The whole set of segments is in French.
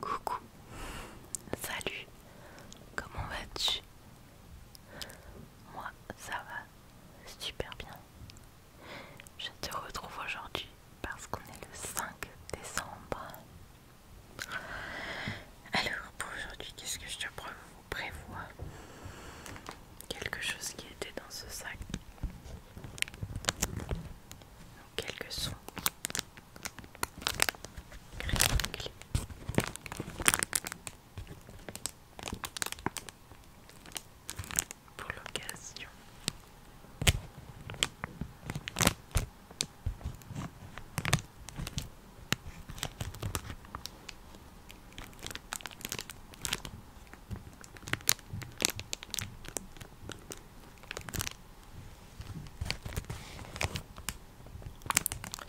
Coucou, salut, comment vas-tu Moi, ça va super bien. Je te retrouve aujourd'hui parce qu'on est le 5 décembre. Alors, pour aujourd'hui, qu'est-ce que je te propose prévoit quelque chose qui était dans ce sac. Donc quelques sons. Pour l'occasion.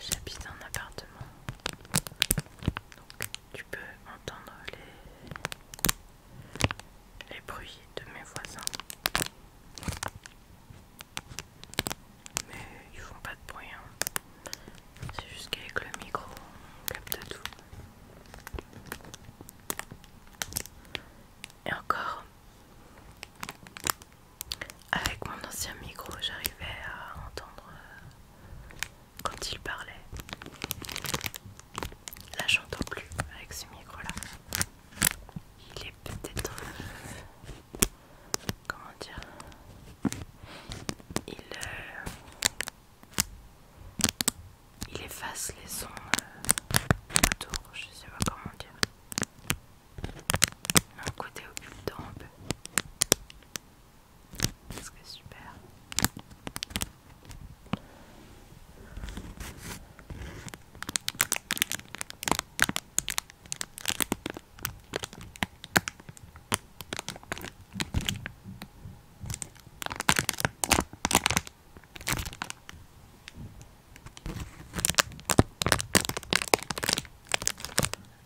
J'habite un appartement, donc tu peux entendre les, les bruits de mes voisins. Mais ils font pas de bruit. Hein. C'est juste qu'avec le micro, on capte tout. Et encore, avec mon ancien micro, j'arrivais à entendre euh, quand il parlait. Là, j'entends plus avec ce micro-là. Il est peut-être euh, comment dire il, euh, il efface les sons euh, autour, je sais pas comment dire. un côté occultant un peu. qui est super.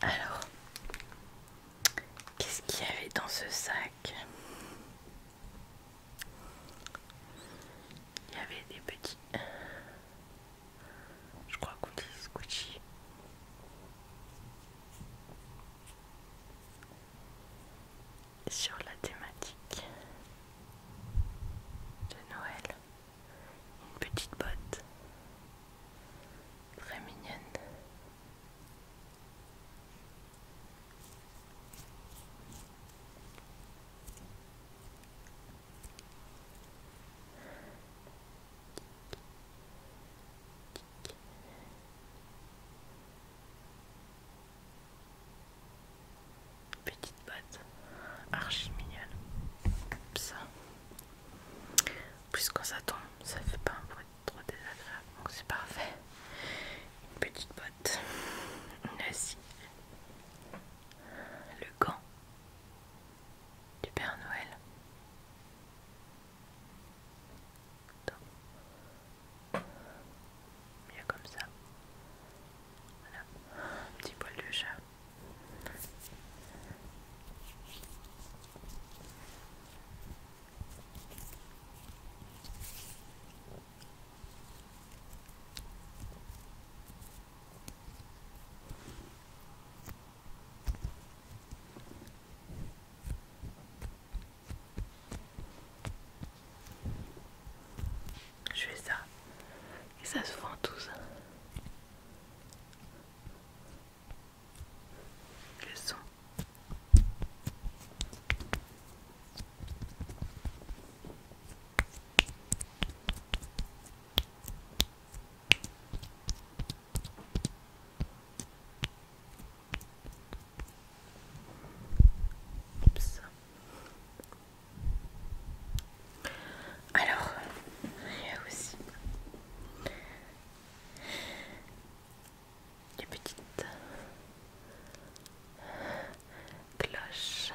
Alors, qu'est-ce qu'il y avait dans ce sac Il y avait des petits je crois qu'on dit squishy Sur la thématique de Noël, une petite botte très mignonne. Petite botte archi mignonne. comme Ça. Plus quand ça tombe, ça fait pas un bruit trop désagréable. Donc c'est parfait. Une petite botte. Une assise, Le gant du Père Noël. comme ça. Voilà, un petit poil de chat. Je fais ça. Et ça se vend tous. Le son. Alors, il y a aussi des petites cloches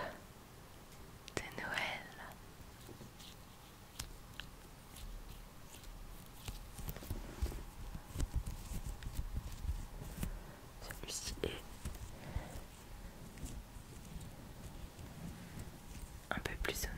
de Noël. Celui-ci est un peu plus sonore.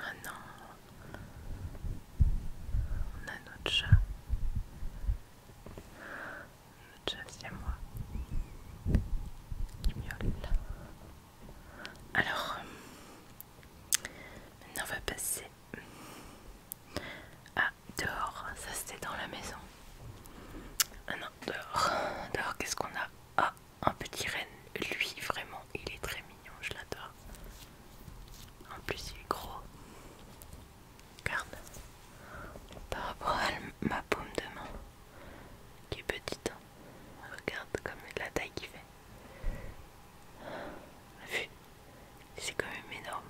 Ah non, on a notre chat. Notre chat, c'est moi. Qui miaule. Alors, euh, maintenant on va passer à dehors, ça c'était dans la maison. ah dehors, dehors, qu'est-ce qu'on a Ah, un petit renne, lui vraiment, il est très mignon, je l'adore. En plus, il est gros. Regarde, par rapport à ma paume de main, qui est petite. Hein. Regarde comme la taille qu'il fait. Vu, c'est quand même énorme.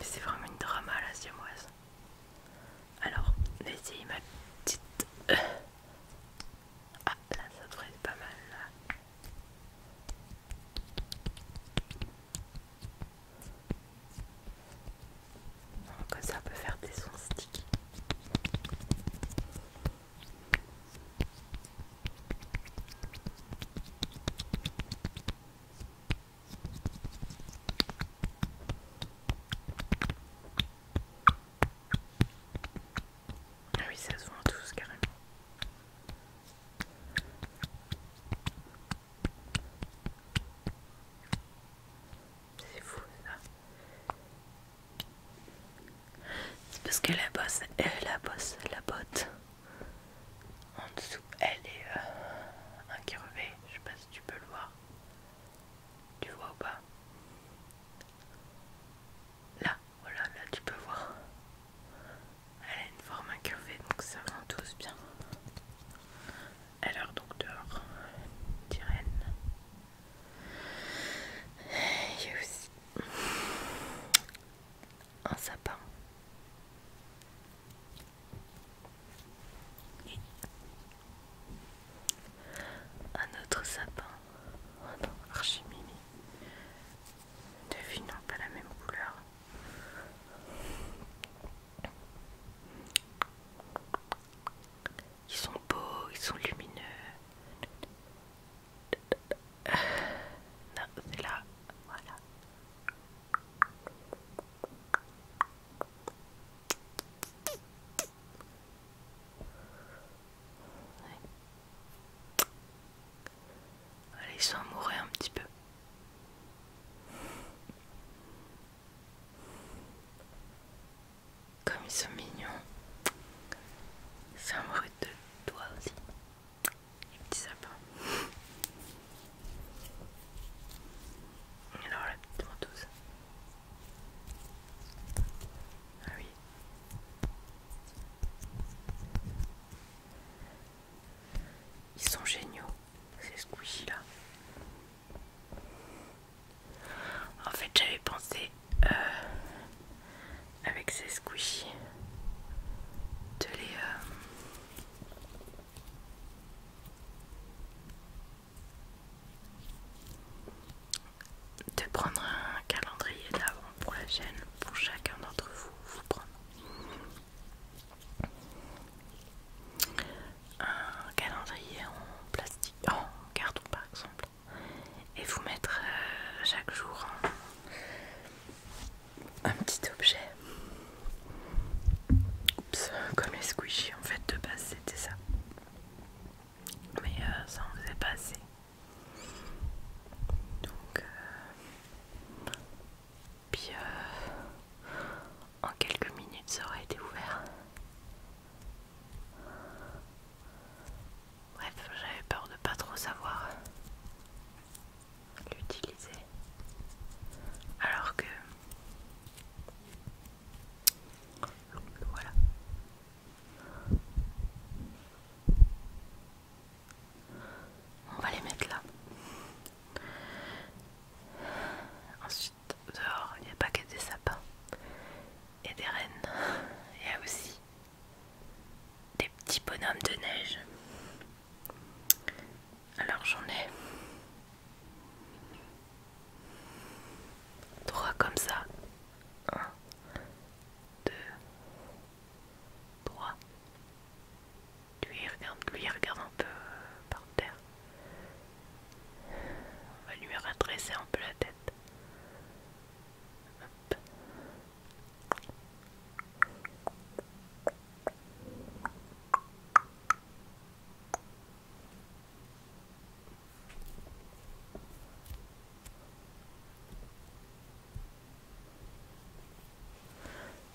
Mais c'est vraiment une drama la siamoise. Alors, essayez ma petite. Euh. Ah là, ça devrait être pas mal là. Comme ça, peut faire des sons sticky. Ah oui, ça se voit en tous carrément. C'est fou ça. C'est parce que la bosse, euh, la bosse, la botte en dessous, elle est euh, incurvée. Je sais pas si tu peux le voir. Tu vois ou pas Là, voilà, là tu peux voir. Elle a une forme incurvée donc ça tous bien. Alors donc dehors, Tyrène. Il y a aussi un sapin. Un autre sapin. Oh non, Archimini. pas la même couleur. Ils sont beaux, ils sont lumineux. Non, c'est là. Voilà. Allez, ils sont amoureux un petit peu. Comme ils sont mignons. C'est un bruit de toi aussi. les petits sapins. alors la petite Ah oui. Ils sont géniaux. Ces squishy là. En fait, j'avais pensé euh, avec ces squishy de les. Euh, de prendre un calendrier d'avant pour la chaîne pour chacun d'entre vous vous prendre un calendrier en plastique, en carton par exemple, et vous mettre euh, chaque jour un, petit objet. comme les squishies en fait, de base c'était ça. Mais euh, ça en faisait pas assez. Donc, euh, puis euh, en quelques minutes ça aurait été ouvert. Bref, j'avais peur de pas trop savoir l'utiliser. Alors que voilà. On va les mettre là. Ensuite, dehors, il n'y a pas que des sapins et des rennes. Il y a aussi des petits bonhommes de neige. Alors j'en ai trois comme ça. Un, deux, trois. Lui regarde, lui regarde un peu euh, par terre. On va lui redresser un peu la tête.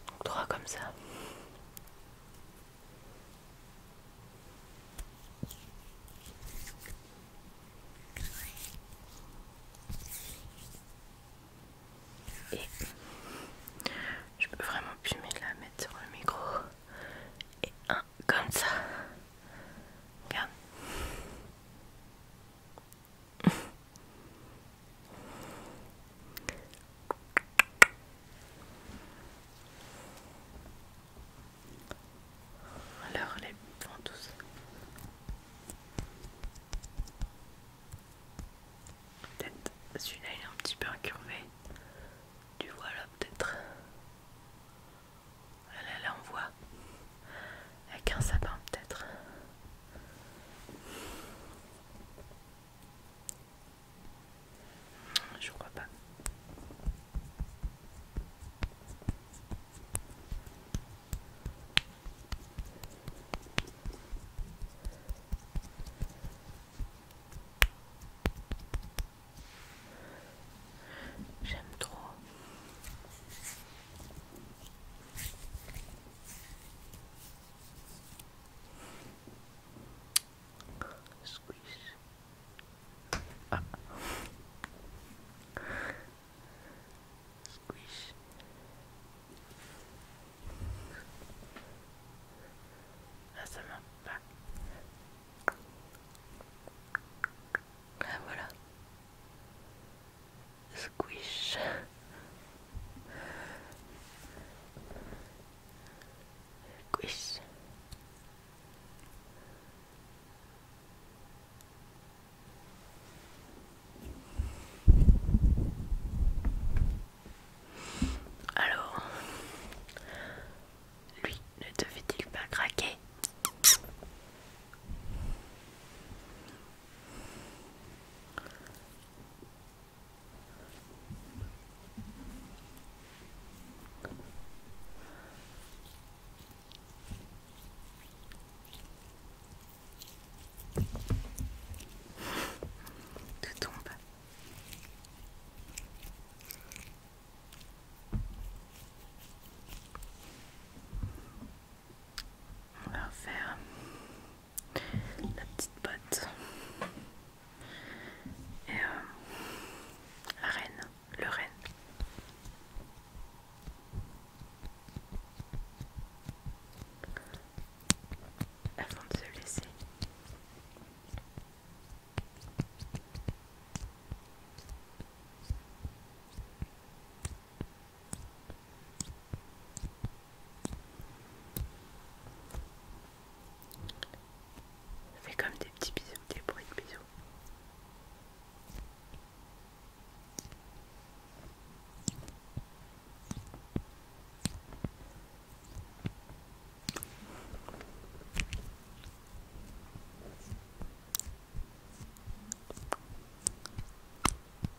Donc, droit comme ça. je peux vraiment plus me la mettre sur le micro. Et un comme ça. Alors les vent Peut-être celui-là il est un petit peu incurvé. Tu vois là peut-être. elle là, là on voit. Avec un sapin peut-être. Je crois pas. J'aime trop. Squeeze. Ah. Squish. Ah, ça voilà. Squish. Squish. Alors, lui ne devait il pas craquer tout tombe. On va refaire la petite botte. Et la euh, reine, le reine. Avant de se laisser. Fais comme des petits bisous, des bruits de bisous.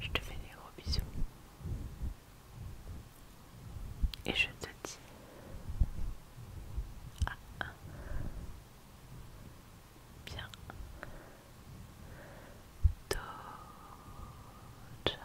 Je te fais des gros bisous. Et je te dis ah, bien. ciao.